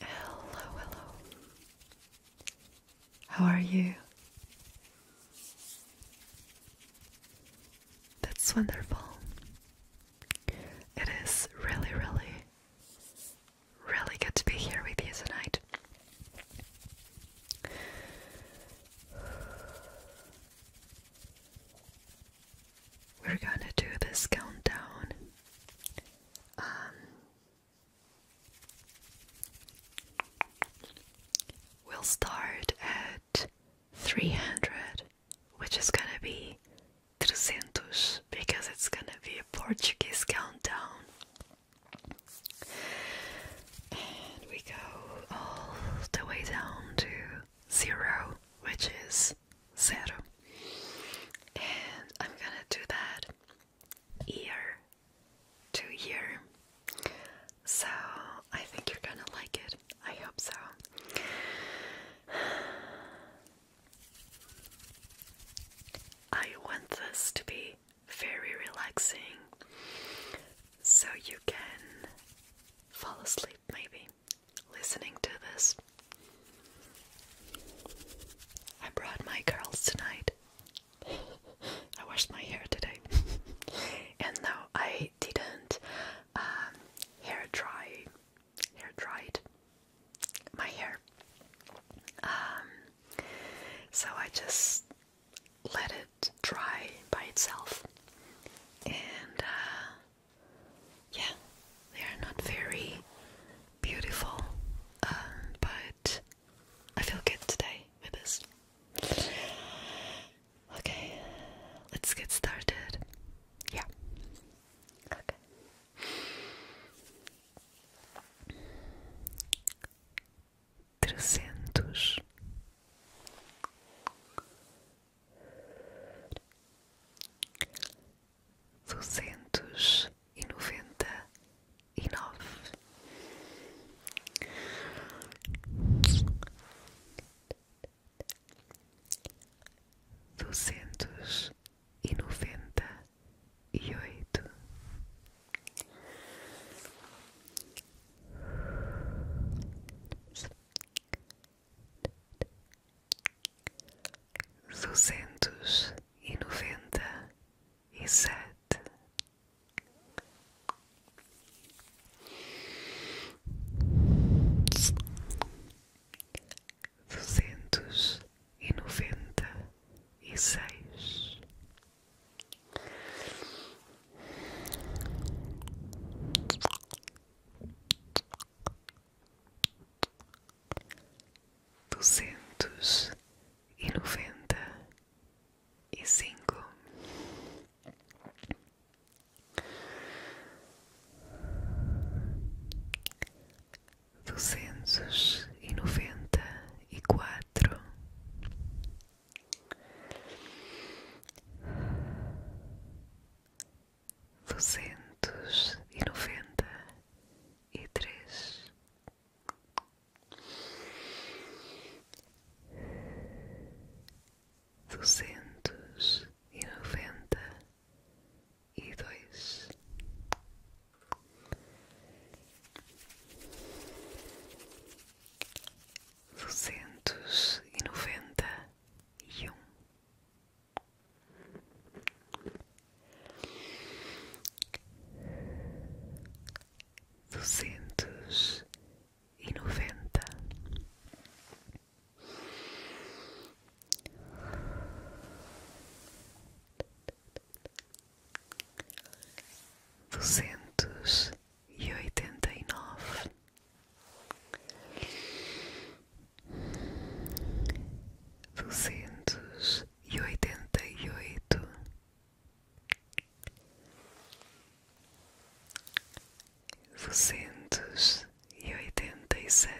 Hello, hello. How are you? That's wonderful. It is really, really really good to be here with you tonight. We're gonna do this countdown. Um, we'll start at 300, which is gonna be 300 because it's gonna be a Portuguese countdown. And we go all the way down to zero, which is zero. And I'm gonna do that year to year. So I think you're gonna like it. I hope so. I want this to be very, relaxing. So you can fall asleep maybe listening to this. I brought my curls tonight. I washed my hair today. and now I didn't um, hair dry. Hair dried my hair. Um, so I just let it dry by itself, and uh, yeah, they are not very beautiful, um, but I feel good today with this. Okay, let's get started. Yeah. Okay. trezentos duzentos e noventa e nove duzentos e noventa e oito, duzentos e noventa e sete. Duzentos e noventa e seis. Duzentos e noventa e cinco, duzentos e noventa e quatro, duzentos e noventa e três, duzentos e noventa e dois duzentos e noventa e um, duzentos e noventa duzentos e oitenta e nove, duzentos e oitenta e oito, duzentos e oitenta e sete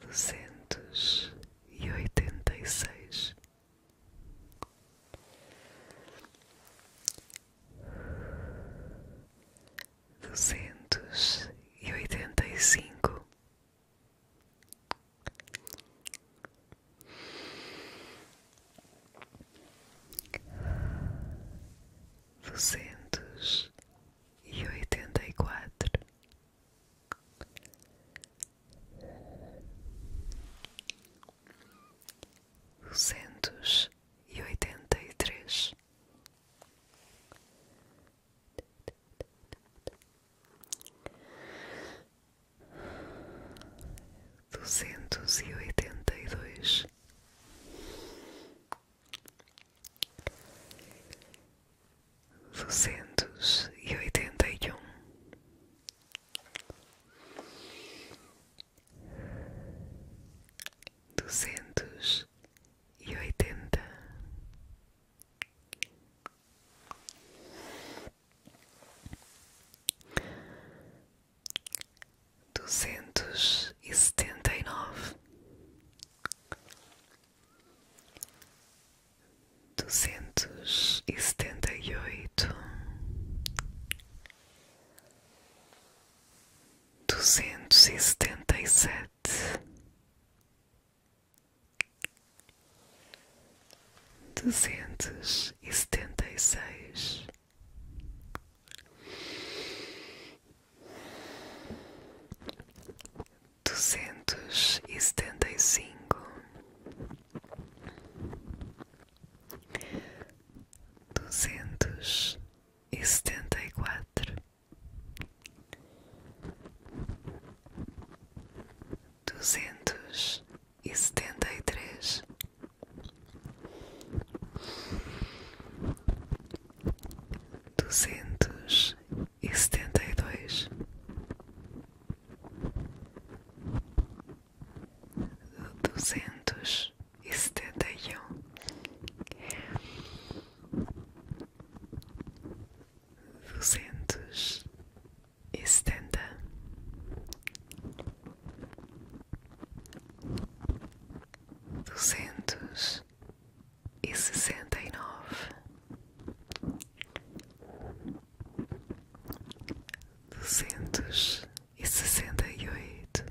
duzentos e oitenta e seis, duzentos e oitenta e cinco, duzentos e oitenta e quatro, duzentos e oitenta e três, duzentos e oitenta e dois, duzentos e oitenta e um, duzentos e oitenta duzentos e setenta e nove, duzentos e setenta e oito, duzentos e setenta e sete, duzentos e setenta e seis duzentos e setenta e cinco, duzentos e setenta e quatro, duzentos e setenta e três, duzentos e setenta e dois, duzentos e setenta e um. Duzentos e setenta, duzentos e sessenta e nove, duzentos e sessenta e oito,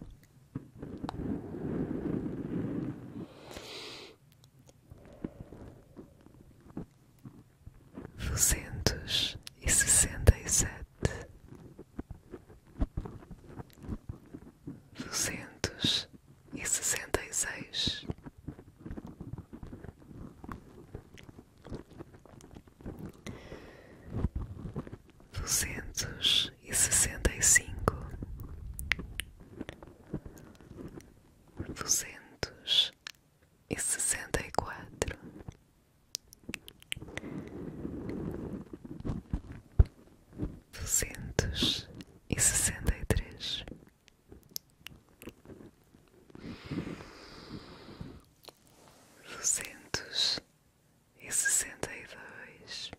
duzentos e sessenta e sete duzentos e sessenta e seis, duzentos e sessenta e cinco, duzentos e sessenta e quatro duzentos e sessenta e três, duzentos e sessenta e dois,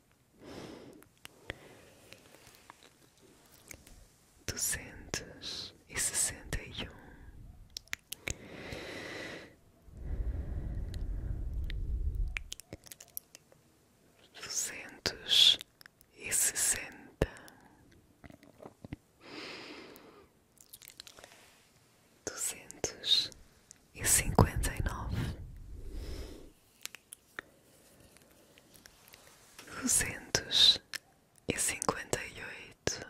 duzentos e sessenta e um duzentos e sessenta, duzentos e cinquenta e nove, duzentos e cinquenta e oito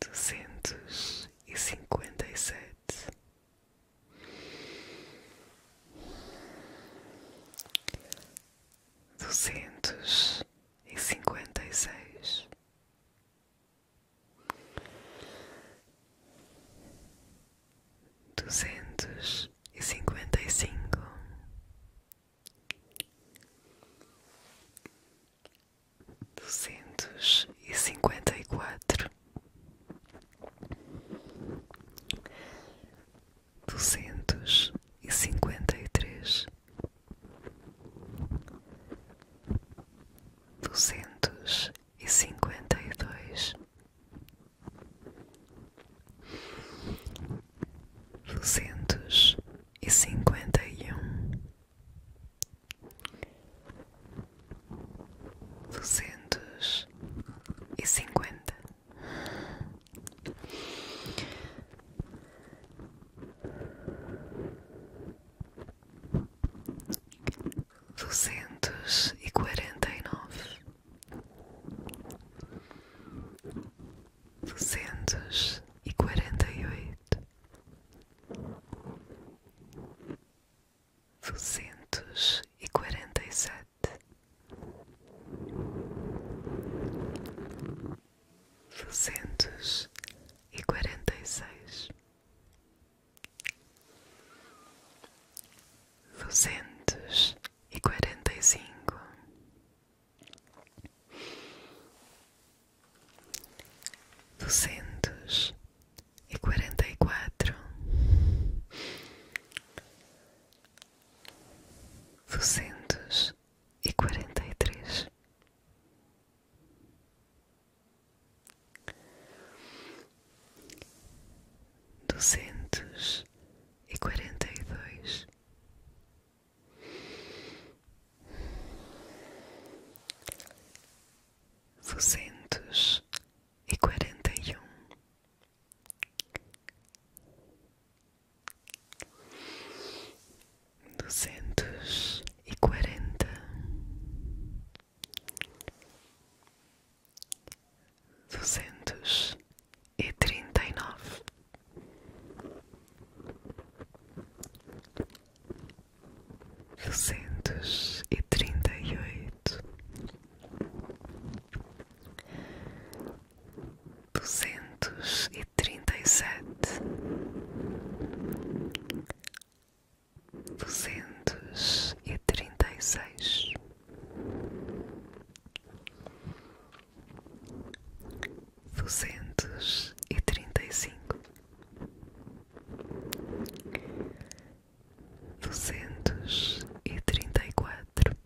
duzentos e cinquenta e sete, duzentos e cinquenta e seis. Duzentos e cinquenta e cinco, duzentos e cinquenta e quatro, duzentos e cinquenta e três, duzentos e cinquenta e dois duzentos e cinquenta e um, duzentos e cinquenta, duzentos e quarenta e nove duzentos e quarenta e oito, duzentos e quarenta e sete, duzentos e quarenta e seis, duzentos e quarenta e cinco duzentos e quarenta e quatro, duzentos e quarenta e três, duzentos e quarenta e dois duzentos e quarenta e um, duzentos e quarenta, duzentos e trinta e nove. Duzentos e trinta e oito, duzentos e trinta e sete, duzentos e trinta e seis, duzentos e trinta e cinco, duzentos e trinta e quatro,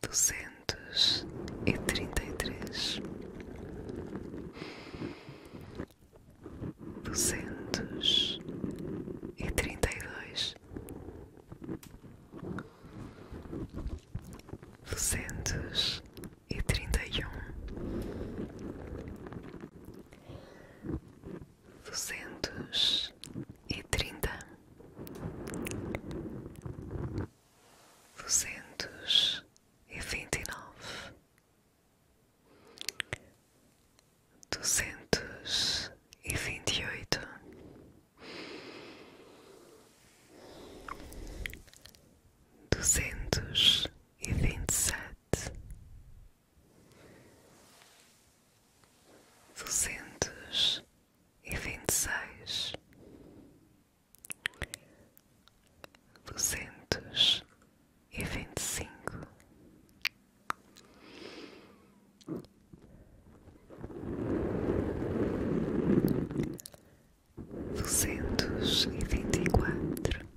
duzentos e trinta e três, duzentos e trinta e dois duzentos e trinta e um, duzentos e trinta, duzentos e vinte e nove duzentos e vinte e oito, duzentos e vinte e sete, duzentos e vinte e seis, duzentos e vinte e cinco duzentos e vinte e quatro,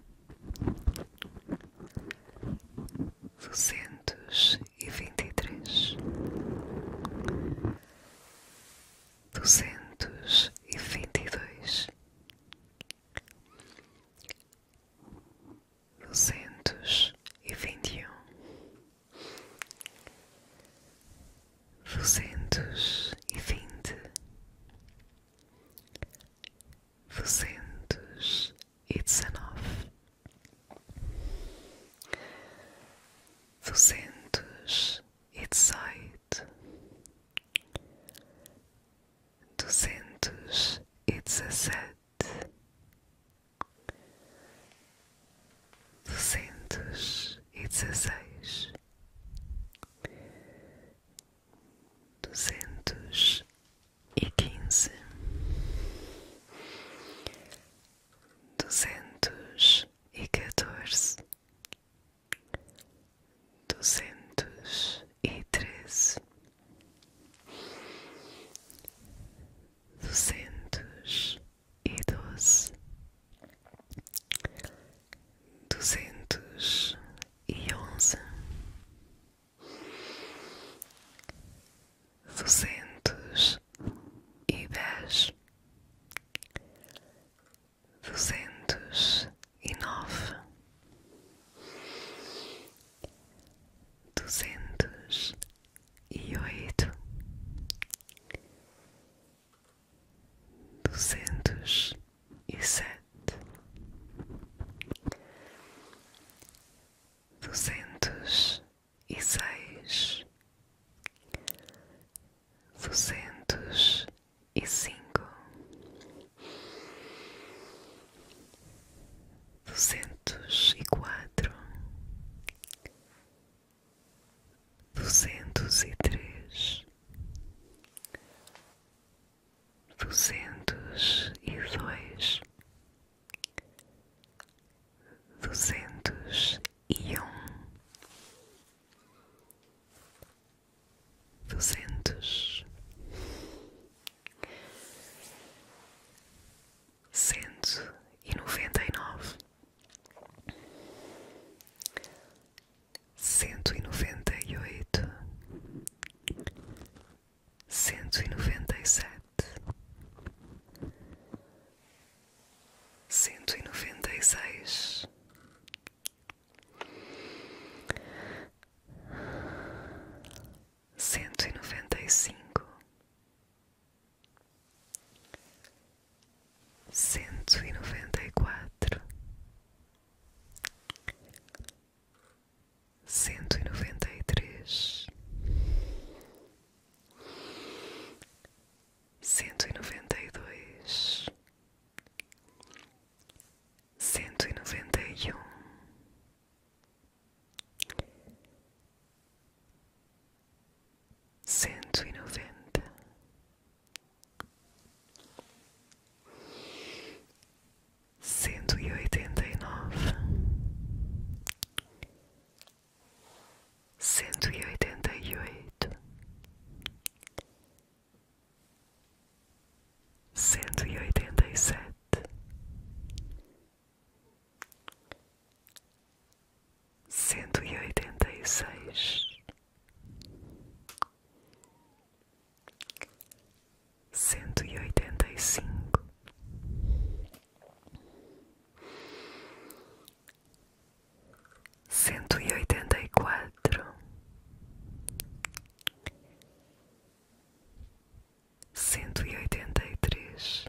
duzentos e vinte e três, duzentos e vinte e dois duzentos e vinte e um, duzentos e vinte, duzentos e dezenove, duzentos e dezoito, duzentos e dezessete duzentos e dezesseis, duzentos e quinze, duzentos e quatorze, duzentos e treze duzentos e doze, duzentos e onze, duzentos e dez, duzentos e nove duzentos e oito, duzentos e sete, duzentos e seis, duzentos e cinco duzentos e quatro, duzentos e três, duzentos e dois, duzentos e um, duzentos cento e noventa e nove, cento e noventa e oito, cento e noventa e sete, cento e noventa e seis cento e noventa e cinco, cento e noventa e quatro, cento e noventa e três, cento e noventa e dois. Cento e noventa e um, cento e noventa, cento e oitenta e nove, cento e oitenta e oito, cento e oitenta e sete cento e oitenta e seis, cento e oitenta e cinco, cento e oitenta e quatro cento e oitenta e três,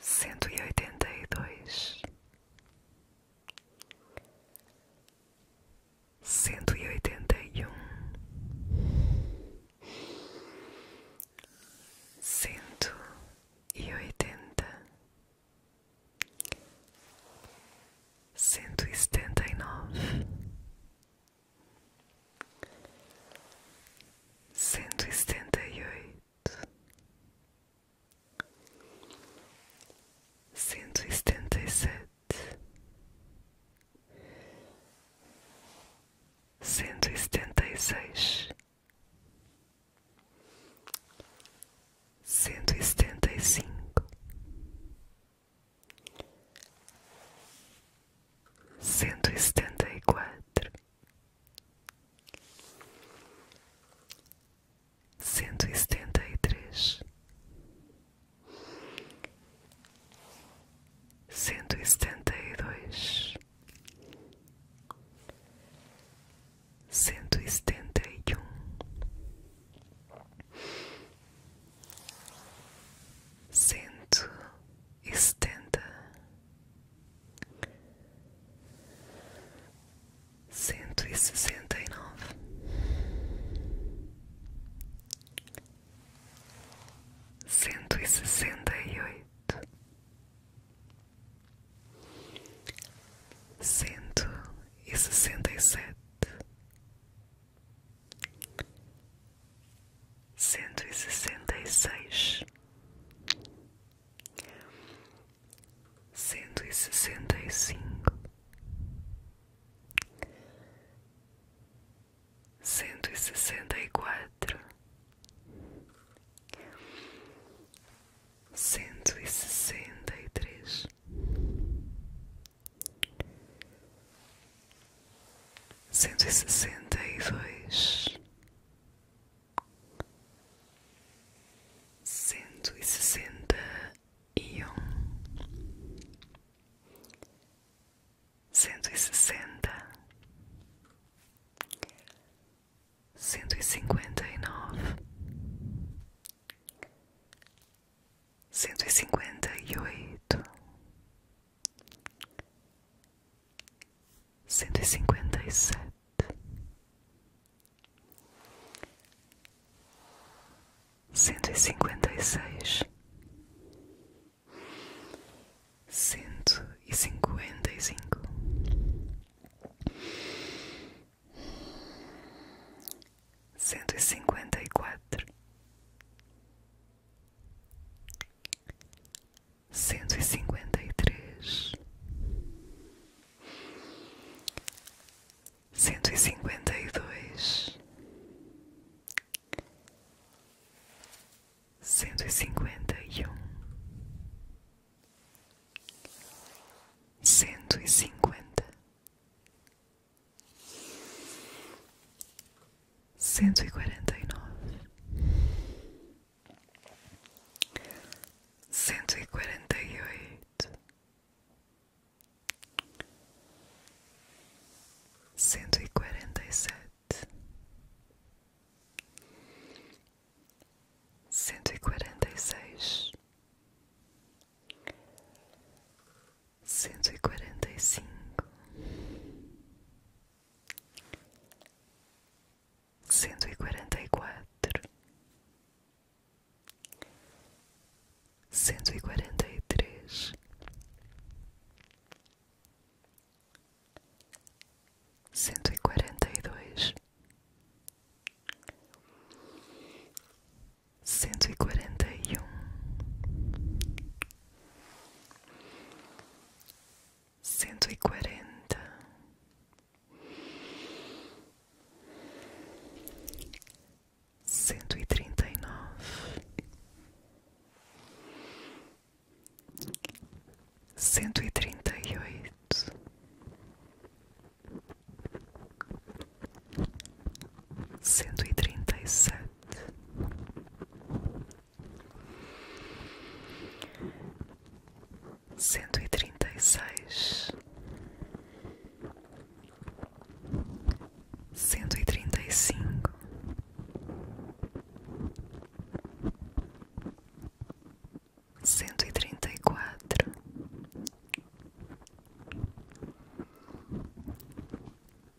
cento e oitenta e dois, cento e oitenta e um, cento e oitenta cento e setenta e nove, cento e setenta e oito, cento e setenta e sete, cento e setenta e seis. Cento e setenta e cinco, cento e setenta e quatro, cento e setenta e três, cento e setenta e dois, cento e setenta e um cento e setenta, cento e sessenta e nove, cento e sessenta e oito, cento e sessenta e sete cento e sessenta e seis, cento e sessenta e cinco, cento e sessenta e quatro, cento e sessenta e três cento e sessenta e dois, cento e sessenta e um, cento e sessenta, cento e cinquenta e nove cento e cinquenta e oito, cento e cinquenta e sete, cento e cinquenta e seis, cento e cinquenta e cinco cento e cinquenta e quatro, cento e cinquenta e três, cento e cinquenta e dois, cento e cinquenta e um. Cento e cinquenta, cento e quarenta e nove, cento e quarenta e oito, cento e quarenta e sete, cento e quarenta e seis cento e quarenta e cinco, cento e quarenta e quatro, cento e quarenta e três, cento e quarenta e dois cento e quarenta e um, cento e quarenta, cento e trinta e nove, cento e trinta e oito cento e trinta e sete, cento e trinta e seis, cento e trinta e cinco. Cento e trinta e quatro,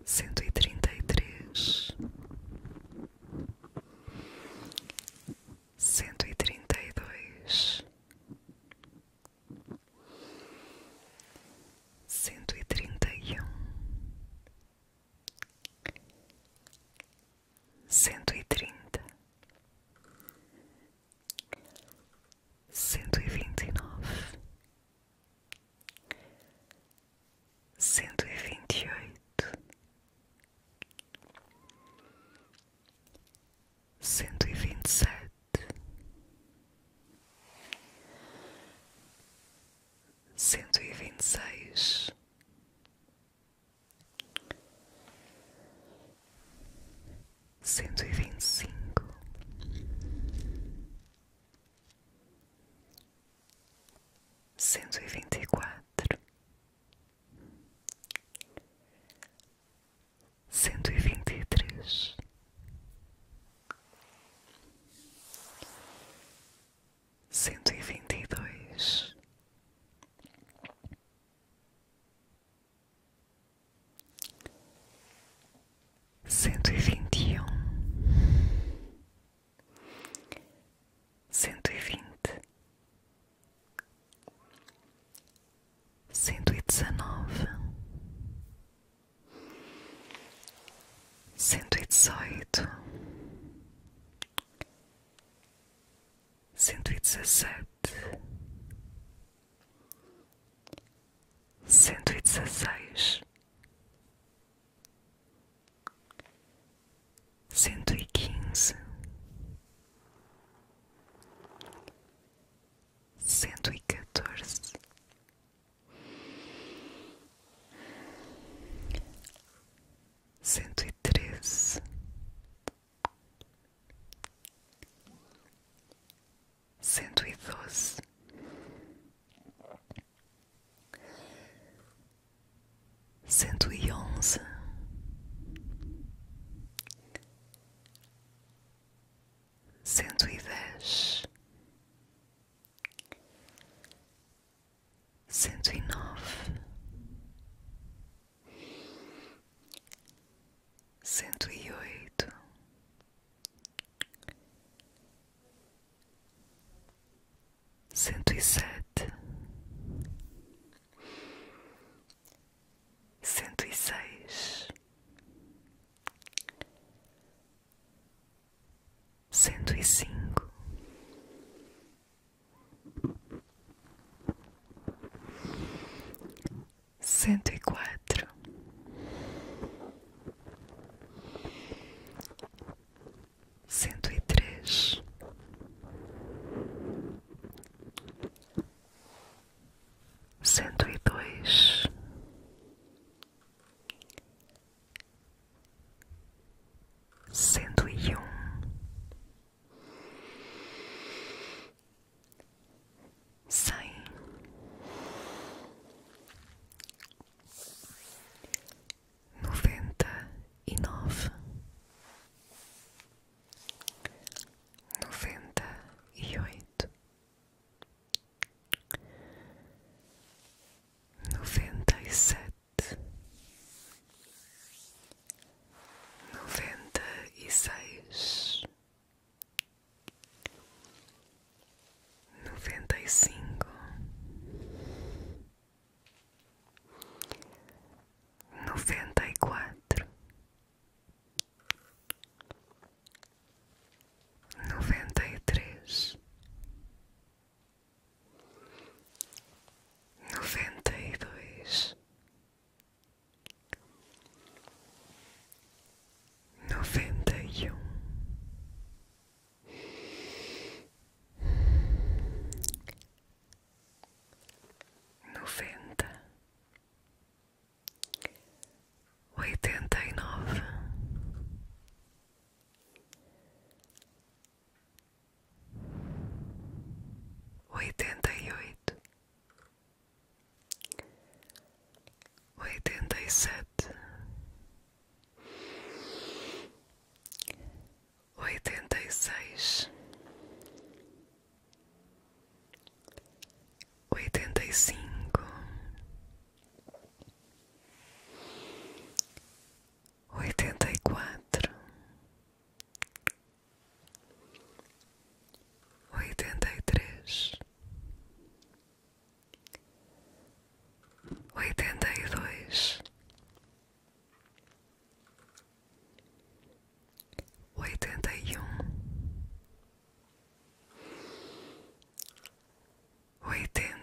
cento e trinta e três, cento e trinta e dois, cento e trinta e um, cento e trinta cento e vinte e nove, cento e vinte e oito, cento e vinte e sete, cento e vinte e seis cento e vinte e cinco, cento e vinte e quatro, cento e vinte e três, cento e vinte e dois cento e vinte e um, cento e vinte, cento e dezenove, cento e dezoito, cento e dezessete cento e dezesseis, cento e quinze, cento e quatorze, cento e treze cento e doze. Cento e onze, cento e dez, cento e nove, cento e oito, cento e sete, cento e seis, cento e cinco cento e quatro, cento e três, cento e dois, cento e um sair. Noventa e nove, noventa e oito, noventa e sete, noventa e seis noventa e cinco, noventa e quatro, noventa e três, noventa e dois noventa e um, noventa, oitenta e nove. Oitenta e oito, oitenta e sete, oitenta e seis, oitenta e cinco, oitenta e quatro oitenta e três, oitenta e dois, oitenta e um, oitenta.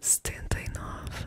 Setenta e nove,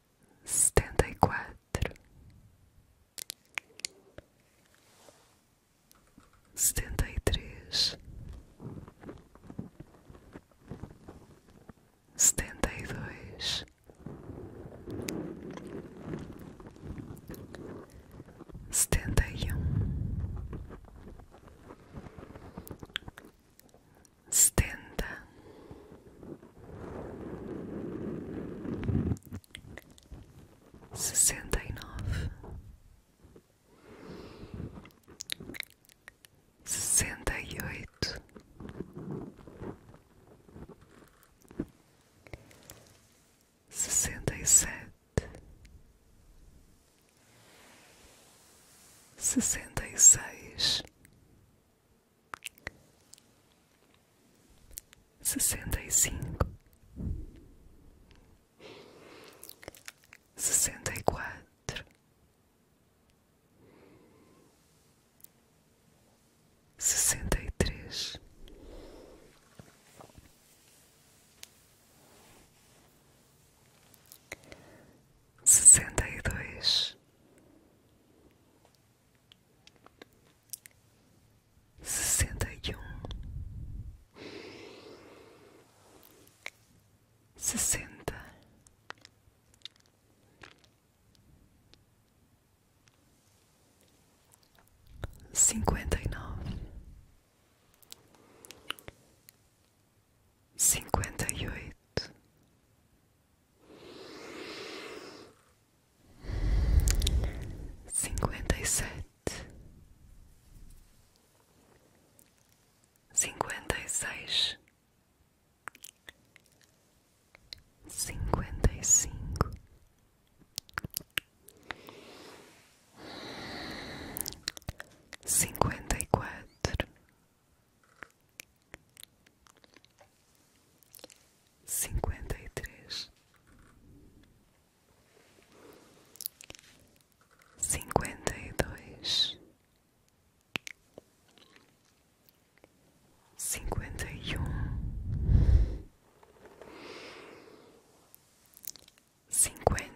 setenta e quatro, setenta e três, setenta e dois, setenta e um setenta, sessenta e nove, sessenta e oito, sessenta e sete, sessenta e seis sessenta e cinco, sessenta e quatro, sessenta e três, sessenta e dois sessenta e um, sessenta, cinquenta e nove, cinquenta e oito cinquenta e sete, cinquenta e seis, cinquenta e cinco, cinquenta e quatro cinquenta e três, cinquenta e dois, cinquenta e um, cinquenta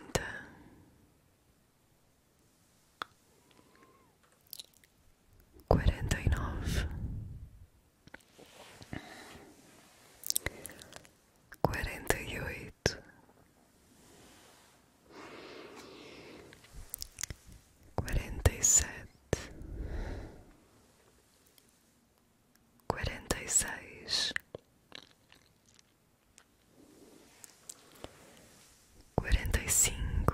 quarenta e nove, quarenta e oito, quarenta e sete, quarenta e seis. Quarenta e cinco,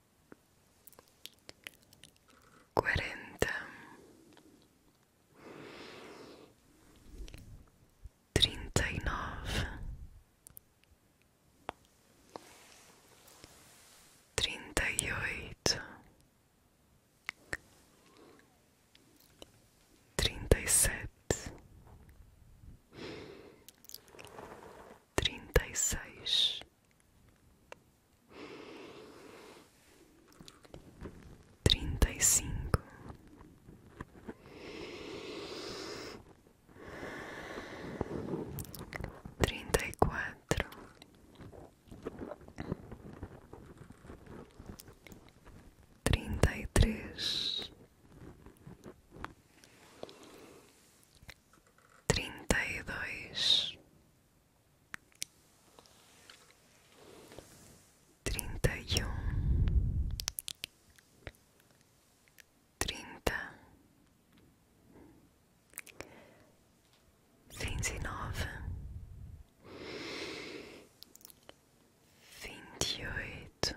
quarenta, trinta e nove, trinta e oito, trinta e sete, trinta e seis trinta e cinco, trinta e quatro, trinta e três trinta e dois, trinta e um, trinta, vinte e nove, vinte e oito.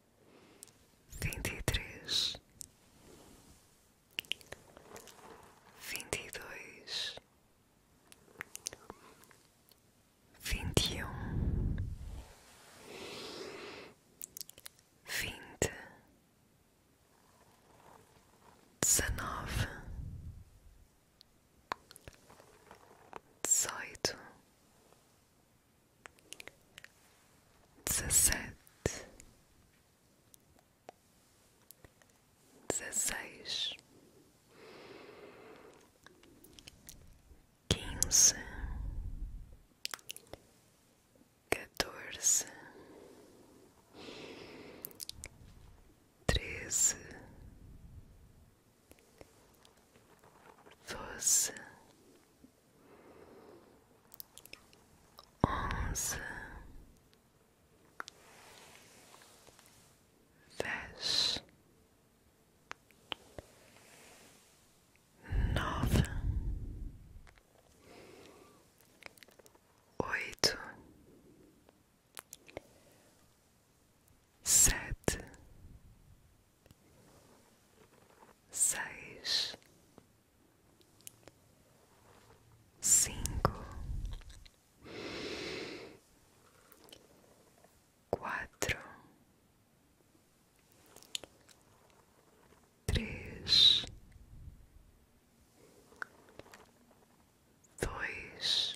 vinte e três, vinte e dois, vinte e um, vinte, dezenove, dezoito dezessete, dezesseis, quinze, quatorze, treze, doze onze, dez, nove, oito, sete seis, cinco, quatro, três, dois.